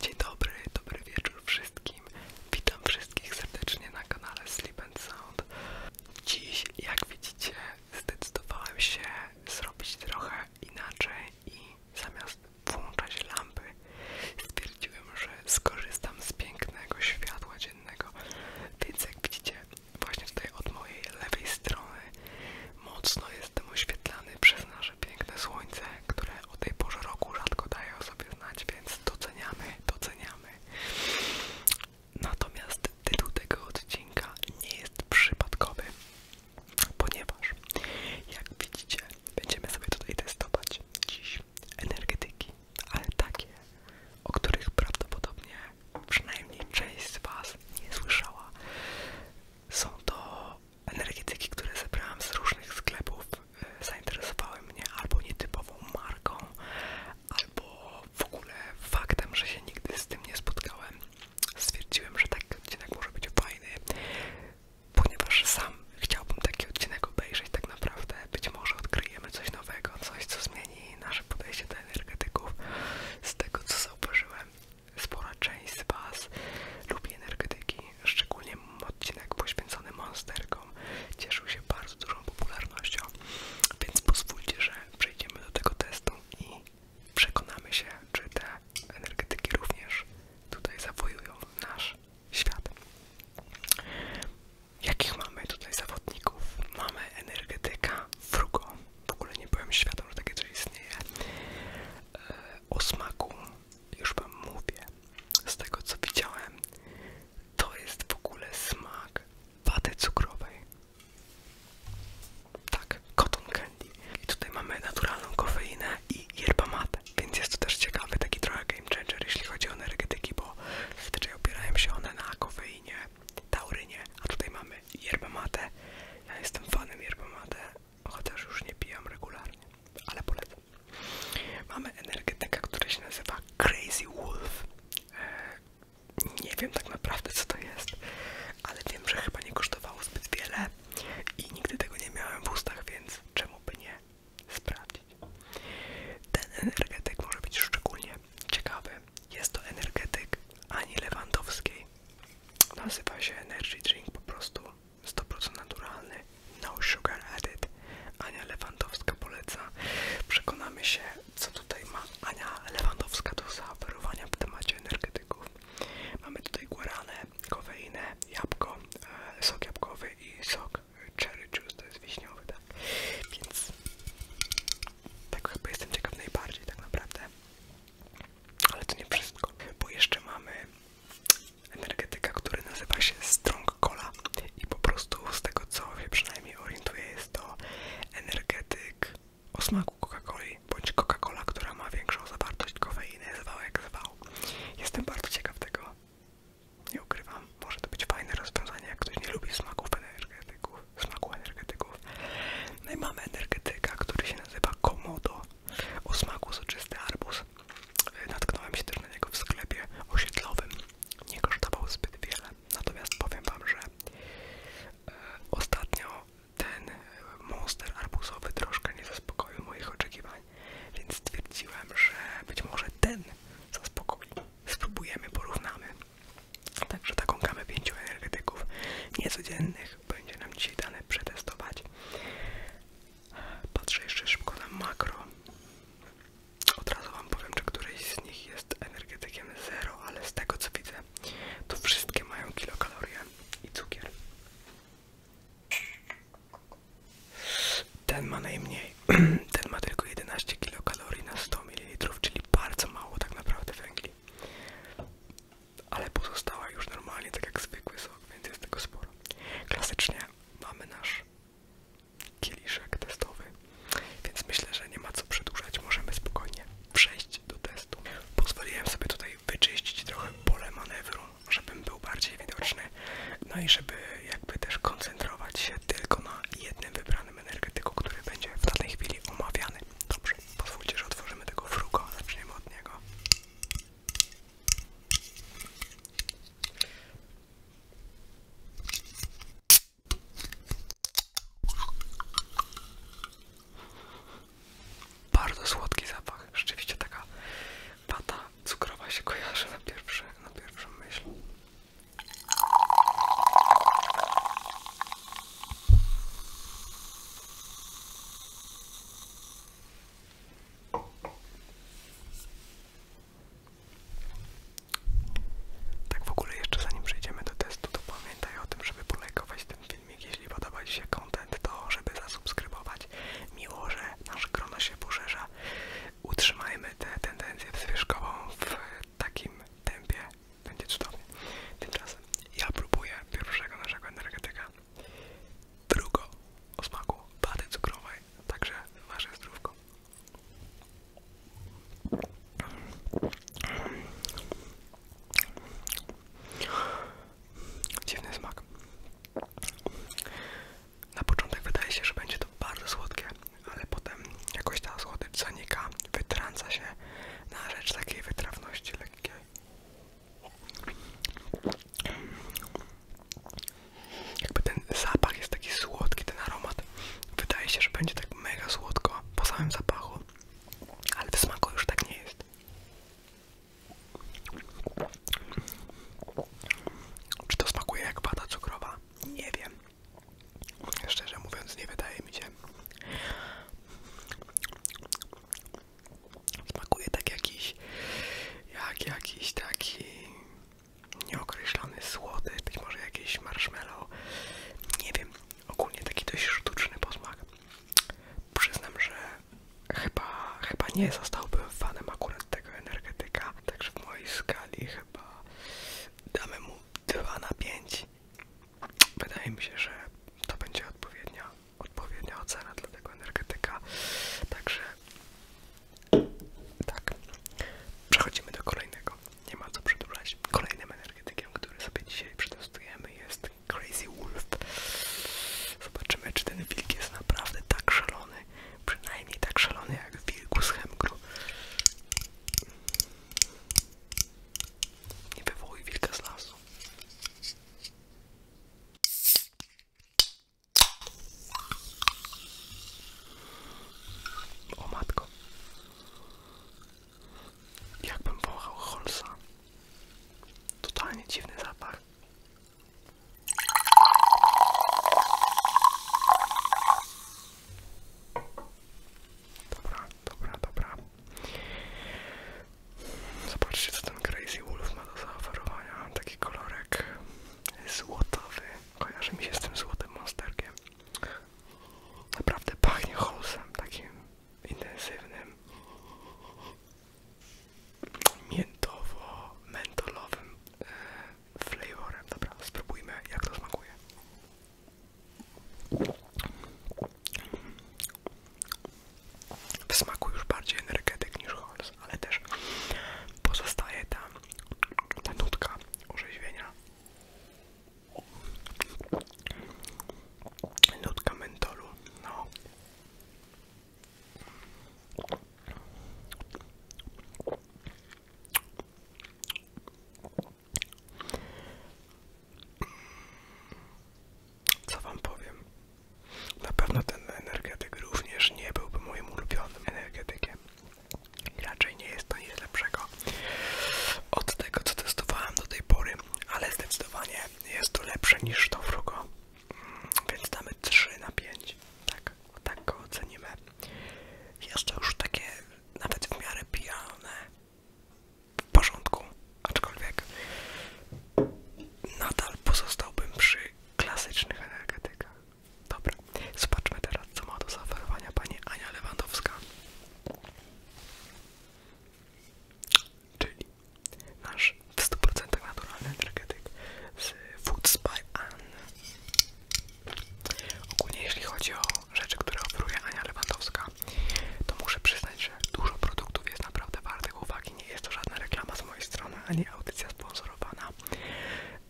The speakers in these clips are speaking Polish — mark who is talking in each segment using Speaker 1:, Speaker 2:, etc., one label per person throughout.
Speaker 1: Dzień dobry, dobry wieczór wszystkim. Witam wszystkich serdecznie na kanale Sleep and Sound. Dziś, jak widzicie, zdecydowałem się zrobić trochę inaczej i zamiast włączać lampy, stwierdziłem, że skorzystam z pięknego światła dziennego. Więc jak widzicie, właśnie tutaj od mojej lewej strony mocno jestem oświetlany przez nasze piękne słońce które o tej porze roku rzadko dają sobie znać, więc doceniamy, doceniamy. Natomiast tytuł tego odcinka nie jest przypadkowy, ponieważ jak widzicie, będziemy sobie tutaj testować dziś energetyki, ale takie, o których prawdopodobnie przynajmniej część z Was nie słyszała. Są to energetyki, które zebrałam z różnych sklepów, e, zainteresowały mnie albo nietypową marką, albo w ogóle faktem, że się nigdy z tym nie spotkałem. Stwierdziłem, że taki odcinek może być fajny, ponieważ sam chciałbym taki odcinek obejrzeć tak naprawdę. Być może odkryjemy coś nowego, coś co zmieni nasze podejście do energetyków. Z tego co zauważyłem, spora część z Was lubi energetyki, szczególnie odcinek poświęcony monsterkom, cieszył się bardzo dużą popularnością, więc pozwólcie, że przejdziemy do tego testu i przekonamy się, czy te energetyki również tutaj zawojują nasz świat. Jakich mamy tutaj zawodników? Mamy energetyka frugo. W ogóle nie byłem świadom, że takie coś istnieje. E, o smaku już wam mówię. Z tego co widziałem, to jest w ogóle smak waty cukrowej. Tak, cotton candy. I tutaj mamy naturalną kofeinę i yerba mate, więc jest to też ciekawy taki trochę game changer, jeśli chodzi o energetyki, bo zazwyczaj opierają się one na kofeinie, taurynie, a tutaj mamy yerba mate. Ja jestem fanem yerba mate, chociaż już nie pijam regularnie, ale polecam. Mamy energetyka, która się nazywa Crazy Wolf. E, nie wiem tak naprawdę co to jest, ale wiem, że chyba nie kosztowało zbyt wiele i nigdy tego nie miałem w ustach, więc czemu by nie sprawdzić. Ten energetyk może być szczególnie ciekawy. Jest to energetyk Ani Lewandowskiej. Nazywa się Energy Drink po prostu 100% naturalny, no sugar added. Ania Lewandowska poleca. Przekonamy się, co tutaj ma Ania Lewandowska do zaoferowania w temacie energetyków. Mamy tutaj guaranę, kofeinę, jabłko, e, sok jabłkowy i sok cherry juice, to jest wiśniowy, tak? Więc tak chyba jestem ciekaw najbardziej tak naprawdę. Ale to nie wszystko, bo jeszcze mamy energetyka, który nazywa się Strong Cola i po prostu z tego co wie przynajmniej orientuję jest to energetyk o smaku Coca-Coli bądź Coca-Cola, która ma większą zawartość kofeiny, zwał jak zwał. Jestem bardzo ciekaw tego. Nie ukrywam, może to być fajne rozwiązanie, jak ktoś nie lubi smaków energetyków, smaku energetyków. No i mamy energetyka, który się nazywa Komodo o smaku soczysty arbuz. Natknąłem się też na niego w sklepie osiedlowym. Nie kosztował zbyt wiele. Natomiast powiem wam, że e, ostatnio ten e, monster arbuzowy troszkę nie zaspokoił moich oczekiwań, więc stwierdziłem, że być może ten zaspokoi. Spróbujemy, porównamy. Także taką gamę pięciu energetyków niecodziennych będzie nam dzisiaj dane przetestować. Patrzę jeszcze szybko na makro. Od razu wam powiem, że któryś z nich jest energetykiem zero, ale z tego co widzę, to wszystkie mają kilokalorie i cukier. Ten ma najmniej. Ten ma tylko 11 kilokalorii na 100 ml, czyli bardzo mało tak naprawdę węgli. Ale pozostała już normalnie, tak jak zwykły sok, więc jest tego sporo. Klasycznie mamy nasz kieliszek testowy, więc myślę, że nie ma co przedłużać, możemy spokojnie przejść do testu. Pozwoliłem sobie tutaj wyczyścić trochę pole manewru, żebym był bardziej widoczny, no i żeby jakby też koncentrować się tylko na jednym wybranym energetyku, który będzie w danej chwili omawiany. Dobrze, pozwólcie, że otworzymy tego frugo, zaczniemy od niego. Bardzo słodki zapach, rzeczywiście taka wata cukrowa się kojarzy na, pierwszy, na pierwszą myśl. Tak w ogóle jeszcze zanim przejdziemy do testu, to pamiętaj o tym, żeby polajkować ten filmik. Jeśli podoba Ci się kontent, to żeby zasubskrybować. Miło, że nasze grono się poszerza. Utrzymajmy tę tendencję zwyżkową w takim tempie. Będzie cudownie. Teraz ja próbuję pierwszego naszego energetyka drugo o smaku baty cukrowej, także wasze zdrówko. Dziwny smak. Na początek wydaje się, że będzie to bardzo słodkie, ale potem jakoś ta słodycz zanika, wytrąca się na rzecz takiej wytrawności lekkiej. Jakby ten zapach jest taki słodki, ten aromat. Wydaje się, że będzie tak mega słodko po samym zapachu, ale w smaku już tak nie jest. Czy to smakuje jak wata cukrowa? Nie wiem. Szczerze mówiąc, nie wydaje mi się. Smakuje tak jakiś, jak jakiś taki nieokreślony słody, być może jakiś marshmallow, nie wiem, ogólnie taki dość sztuczny posmak. Przyznam, że chyba, chyba nie zostałbym fanem akurat tego energetyka, także w mojej skali chyba damy mu 2 na 5. Wydaje mi się, że to będzie odpowiednia odpowiednia ocena dla tego energetyka. Także tak, przechodzimy do kolejnego. Nie ma co przedłużać. Kolejnym energetykiem, który sobie dzisiaj przetestujemy jest Crazy Wolf. Zobaczymy, czy ten wilk jest naprawdę tak szalony, przynajmniej tak szalony jak wilku z Hemgru. Nie wywołuj wilka z lasu. O matko. Jakbym wąchał Holsa. Totalnie dziwny zapach. Dobra, dobra, dobra. Zobaczcie, co ten Crazy Wolf ma do zaoferowania. Tak taki kolorek złotowy. Kojarzy mi się z tym złotym monsterkiem. Naprawdę pachnie holsem, takim intensywnym, miętowo-mentolowym e, flavorem. Dobra, spróbujmy jak to smakuje w smaku już bardziej energetyk niż Holz, ale też pozostaje ta, ta nutka orzeźwienia. Nutka mentolu, no. Co wam powiem? Na pewno ten energetyk również nie byłby moim ulubionym energetykiem. I raczej nie jest to nic lepszego od tego, co testowałem do tej pory, ale zdecydowanie jest to lepsze niż to frugo. Mm, więc damy 3 na 5. Tak, tak go ocenimy. Jest to już takie nawet w miarę pijane w porządku, aczkolwiek nadal pozostałbym przy klasycznych energetykach. Dobra, zobaczmy teraz, co ma do zaoferowania pani Ania Lewandowska. Czyli nasz w 100% naturalny energetyk z Foods by Ann. Ogólnie jeśli chodzi o rzeczy, które oferuje Ania Lewandowska, to muszę przyznać, że dużo produktów jest naprawdę wartych uwagi nie jest to żadna reklama z mojej strony, ani audycja sponsorowana.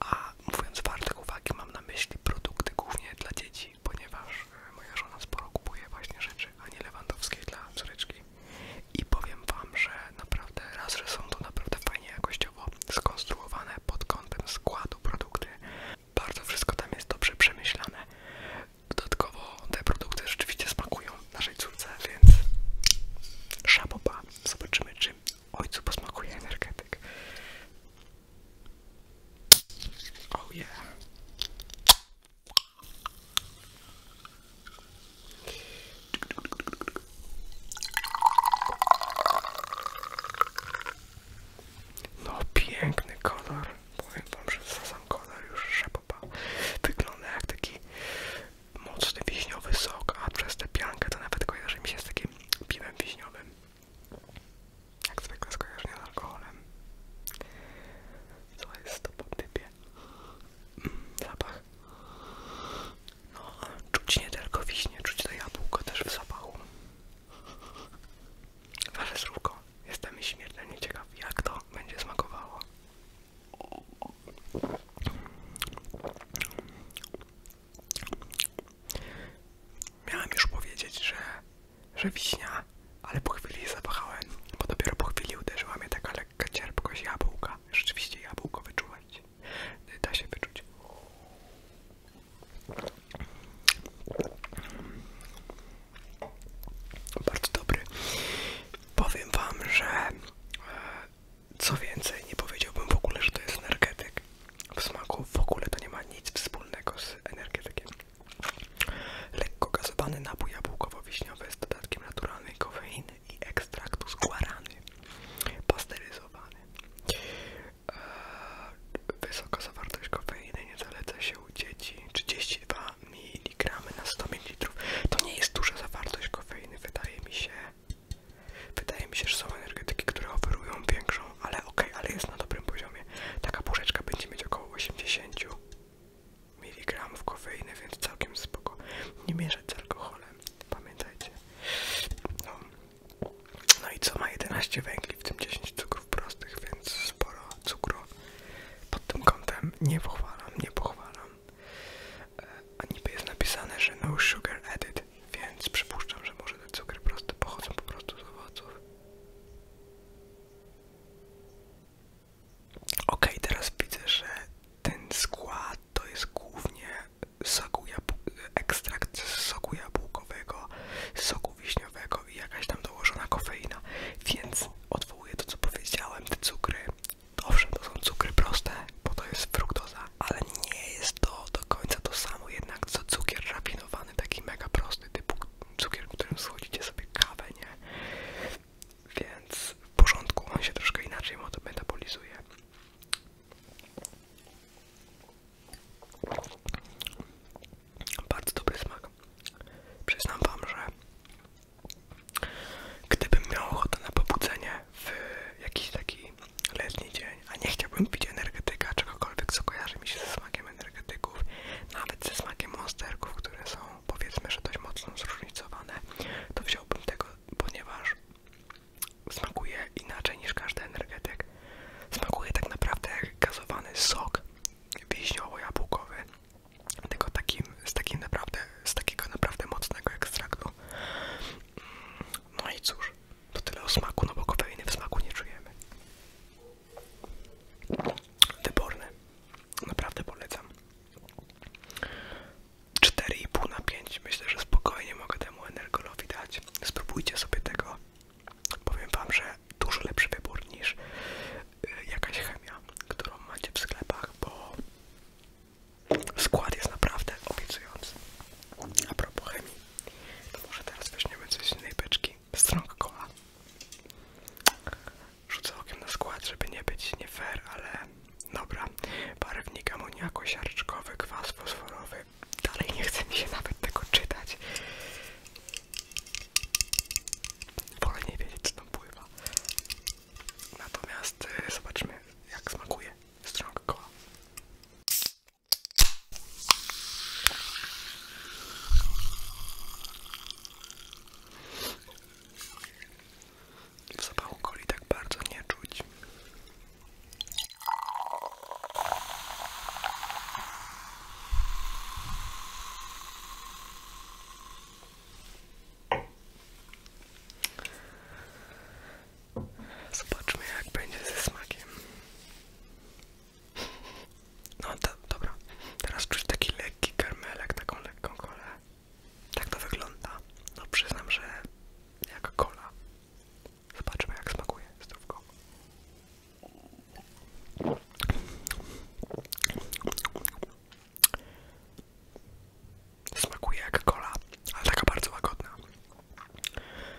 Speaker 1: A mówiąc wartek uwagi, mam na myśli produkty głównie dla dzieci, ponieważ e, moja żona sporo kupuje właśnie rzeczy Ani Lewandowskiej dla córeczki. I powiem Wam, że naprawdę raz, że są to naprawdę fajnie jakościowo skonstruowane pod kątem składu produkty. Bardzo wszystko tam jest dobrze przemyślane. Dodatkowo te produkty rzeczywiście smakują naszej córce, więc szaboba. Zobaczymy, czy ojcu posmakuje energetyk. Oh yeah. No piękny kolor, powiem wam, że za sam kolor już szapoba wygląda jak taki mocny wiśniowy sok, a przez tę piankę to nawet kojarzy mi się z takim piwem wiśniowym. Jak zwykle skojarzenie z alkoholem. Co jest to po typie? Mm, zapach. No, czuć nie tylko wiśnie, czuć to jabłko też w zapachu. Wasze słówko, jestem śmiertelnie ciekaw, jak to będzie smakowało. Miałem już powiedzieć, że, że wiśnia, ale po chwili zawahałem, bo dopiero po chwili uderzyła mnie taka lekka cierpkość jabłka. Rzeczywiście jabłko wyczuwać, da się wyczuć. Bardzo dobry. Powiem wam, że e, co więcej, nie powiedziałbym w ogóle, że to jest energetyk. W smaku w ogóle to nie ma nic wspólnego z energetykiem. Lekko gazowany napój jabłkowo-wiśniowy z dodatkiem naturalnej kofeiny i ekstraktu z guarany. Pasteryzowany. Eee, wysoka zawartość kofeiny nie zaleca się u dzieci. 32 mg na 100 ml. To nie jest duża zawartość kofeiny kofeiny wydaje mi się wydaje że są energetyki, które oferują większą, ale ok, ale jest na dobrym poziomie. Taka puszeczka będzie mieć około 80 mg kofeiny, więc całkiem spoko. Nie mieszać z alkoholem, pamiętajcie. No, no i co ma 11 węgli, w tym 10 cukrów prostych, więc sporo cukru pod tym kątem nie pochwalam, nie pochwalam. A niby jest napisane, że no sugar added, więc przypuszczam, że może te cukry proste pochodzą po prostu z owoców. Ok, teraz widzę, że ten skład to jest głównie soku ekstrakt z soku jabłkowego, soku wiśniowego i jakaś tam dołożona kofeina, więc odwołuję to, co powiedziałem, te cukry Owszem, to są cukry proste, bo to jest fruktoza, ale nie jest to do końca to samo jednak co cukier rafinowany, taki mega prosty, typu cukier, którym schodzicie sobie kawę, nie? Więc w porządku, on się troszkę inaczej metabolizuje. Bardzo dobry smak. Przyznam wam, że Gdybym miał ochotę na pobudzenie w jakiś taki letni dzień, a nie chciałbym pić energetyka, czegokolwiek, co kojarzy mi się ze smakiem energetyków, nawet ze smakiem monsterków, które są powiedzmy, że dość mocno zróżnicowane, to wziąłbym tego, ponieważ smakuje inaczej niż każdy energetyk. Smakuje tak naprawdę jak gazowany sok wiśniowo-jabłkowy, tylko takim, z takim naprawdę z takiego naprawdę mocnego ekstraktu. No i cóż, to tyle o smaku, no bo kofeiny w smaku nie czujemy. Wyborny, naprawdę polecam. 4,5 na 5, myślę, że spokojnie mogę temu energolowi dać. Spróbujcie sobie tego. Powiem wam, że dużo lepszy wybór niż y, jakaś chemia, którą macie w sklepach, bo Skład jest naprawdę obiecujący. A propos chemii, to może teraz weźmiemy coś z innej beczki. Strong Cola. Rzucę okiem na skład, żeby nie być nie fair, ale dobra. Barwnik amoniaku, siarczkowy, kwas fosforowy. Dalej nie chce mi się nawet tego czytać. Wolę nie wiedzieć, co tam pływa. Natomiast y, zobaczmy, jak smakuje strong W zapachu coli tak bardzo nie czuć. Zobaczmy jak będzie ze smakiem. No to, dobra, teraz czuć taki lekki karmelek, taką lekką kolę. Tak to wygląda. No przyznam, że jaka kola. Zobaczmy jak smakuje zdrówko. Smakuje jak kola, ale taka bardzo łagodna.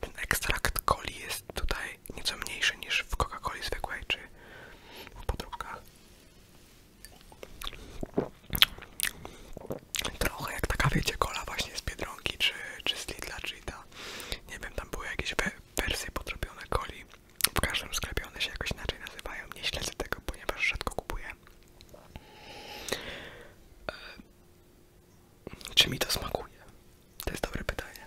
Speaker 1: Ten ekstrakt coli jest tutaj nieco mniejszy niż w Coca-Coli zwykłej czy w podróbkach. Trochę jak taka, wiecie, kola właśnie z Biedronki czy, czy z Lidla, czy ta, nie wiem, tam były jakieś we wersje podrobione koli. W każdym sklepie one się jakoś inaczej nazywają. Nie śledzę tego, ponieważ rzadko kupuję. E, czy mi to smakuje? To jest dobre pytanie.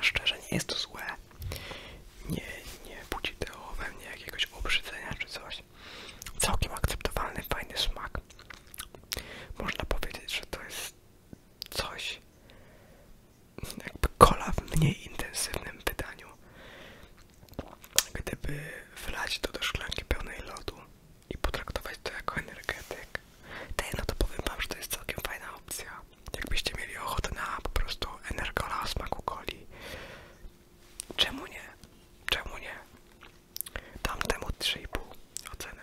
Speaker 1: Szczerze, nie jest to złe. Nie, nie budzi to we mnie jakiegoś obrzydzenia czy coś. Całkiem akceptowalny, fajny smak. Można powiedzieć, że to jest coś, jakby kola w mniej intensywnym wydaniu. Gdyby wlać to do szklanki pełnej lodu i potraktować to jako energetyk, tej, no to powiem wam, że to jest całkiem fajna opcja. Jakbyście mieli ochotę na po prostu energola o smaku koli. czemu nie? Czemu nie? Dam temu 3,5 ocenę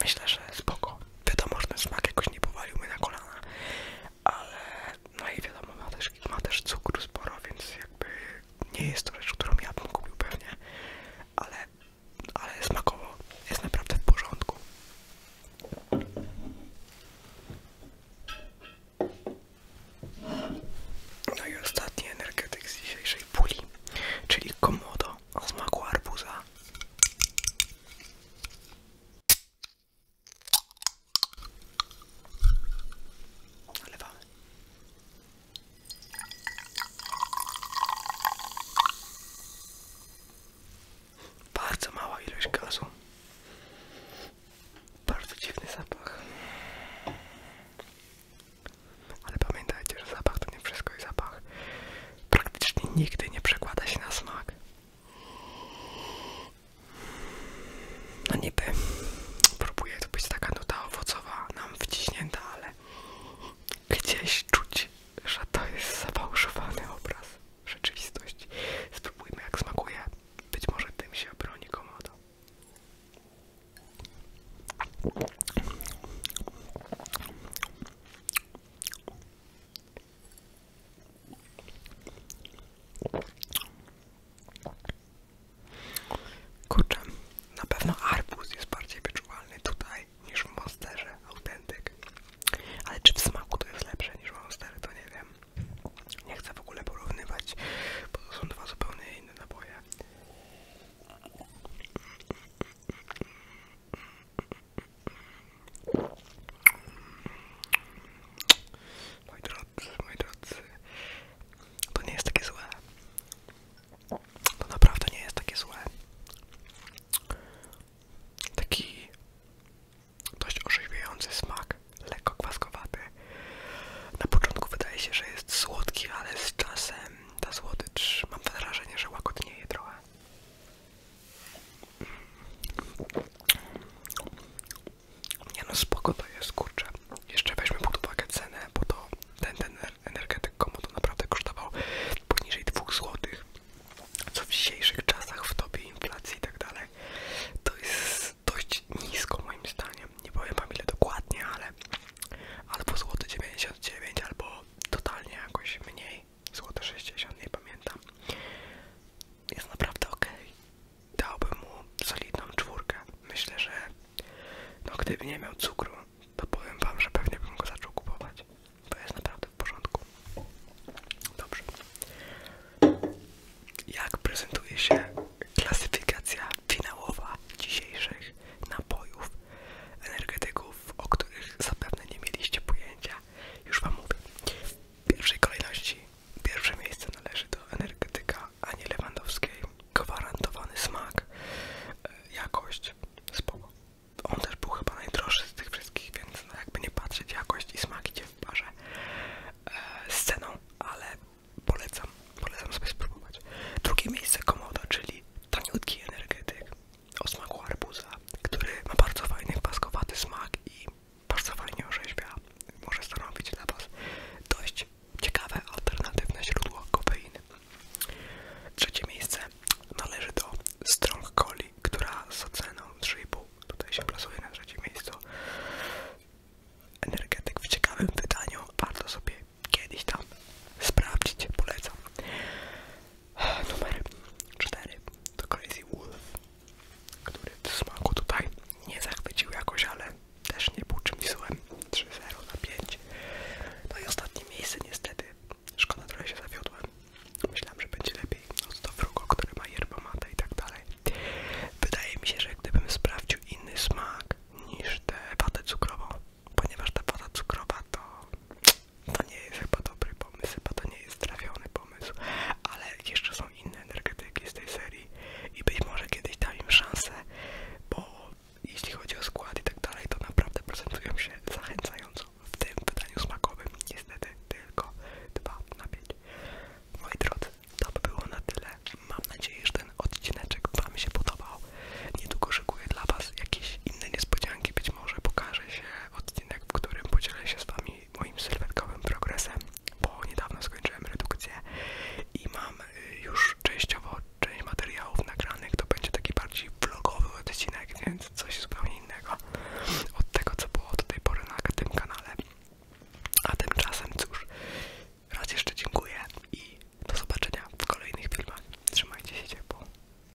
Speaker 1: myślę, że spoko. Wiadomo, że ten smak jakoś nie powalił mnie na kolana, ale no i wiadomo, ma też, ma cukru sporo, więc jakby nie jest to rzecz, którą ja bym kupił pewnie, ale, ale smakowo jest naprawdę w porządku. No i ostatni energetyk z dzisiejszej puli, czyli komodo o smaku arbuza. Nalewamy. Bardzo mała ilość gazu. Bardzo dziwny zapach. Ale pamiętajcie, że zapach to nie wszystko i zapach praktycznie nigdy nie przekłada się na smak. No niby próbuje to być taka nuta owocowa nam wciśnięta, ale gdzieś czuć, że to jest zafałszowany obraz rzeczywistości. Spróbujmy jak smakuje. Być może tym się obroni komodo. Kurczę, na pewno arbuz jest bardziej wyczuwalny tutaj niż w Monsterze autentyk. Ale czy w smaku to jest lepsze niż w Monsterze, to nie wiem. Nie chcę w ogóle porównywać, bo to są dwa zupełnie inne naboje. Mój drodzy, moi drodzy, to nie jest takie złe. To naprawdę nie jest takie złe. Taki dość orzeźwiający smak, lekko kwaskowaty. Na początku wydaje się, że jest słodki, ale z czasem ta słodycz, mam wrażenie, że łagodnieje trochę. Nie no spoko to jest, kurczę. Jeszcze weźmy pod uwagę cenę, bo to ten, ten energetyk komu to naprawdę kosztował poniżej 2 zł. Co w dzisiejszych czasach w dobie inflacji i tak dalej, to jest dość nisko moim zdaniem. Nie powiem wam ile dokładnie, ale albo złoty 99 albo totalnie jakoś mniej złote 60, nie pamiętam. Jest naprawdę ok. Dałbym mu solidną czwórkę. Myślę, że no gdyby nie miał cukru, to powiem wam, że pewnie bym go zaczął kupować. To jest naprawdę w porządku. Dobrze. Jak prezentuje się klasyfikacja finałowa dzisiejszych napojów energetyków, o których zapewne nie mieliście pojęcia, już Wam mówię. W pierwszej kolejności pierwsze miejsce należy do energetyka Ani Lewandowskiej. Gwarantowany smak, e, jakość, spoko. On też był chyba najdroższy z tych wszystkich, więc no jakby nie patrzeć, jakość i smak idzie w parze e, z ceną, ale polecam, polecam sobie spróbować. Drugie miejsce komodo, czyli taniutki energetyk o smaku arbuza, który ma bardzo fajny, kwaskowaty smak i bardzo fajnie orzeźwia. Może stanowić dla Was dość ciekawe, alternatywne źródło kofeiny. Trzecie miejsce należy do Strong Coli, która z ceną 3,5 tutaj się plasuje na trzecim miejscu. Energetyk w ciekawym wydaniu, warto sobie kiedyś tam sprawdzić, polecam. Numer 4 to Crazy Wolf, który w smaku tutaj nie zachwycił jakoś, ale też nie był czymś złym. 3-0 na 5. No i ostatnie miejsce niestety. Szkoda, że się zawiodłem. Myślałem, że będzie lepiej od no to frugo, które ma yerba mate i tak dalej. Wydaje mi się, że gdybym sprawdził inny smak niż tę watę cukrową, ponieważ ta woda cukrowa to to nie jest chyba dobry pomysł, chyba to nie jest trafiony pomysł, ale jeszcze są inne energetyki z tej serii i być może kiedyś dam im szansę, bo jeśli chodzi o skład i tak dalej, to naprawdę prezentują się zachęcająco w tym wydaniu smakowym. Niestety tylko 2 na 5. Moi drodzy, to by było na tyle. Mam nadzieję, że ten odcineczek Wam się podobał. Niedługo szykuję dla Was jakieś inne niespodzianki, być może pokaże się odcinek, w którym podzielę się z Wami moim sylwetkowym progresem, bo niedawno skończyłem redukcję i mam y, już częściowo część materiałów nagranych, to będzie taki bardziej vlogowy odcinek, więc coś zupełnie innego od tego, co było do tej pory na tym kanale. A tymczasem cóż, raz jeszcze dziękuję i do zobaczenia w kolejnych filmach. Trzymajcie się ciepło.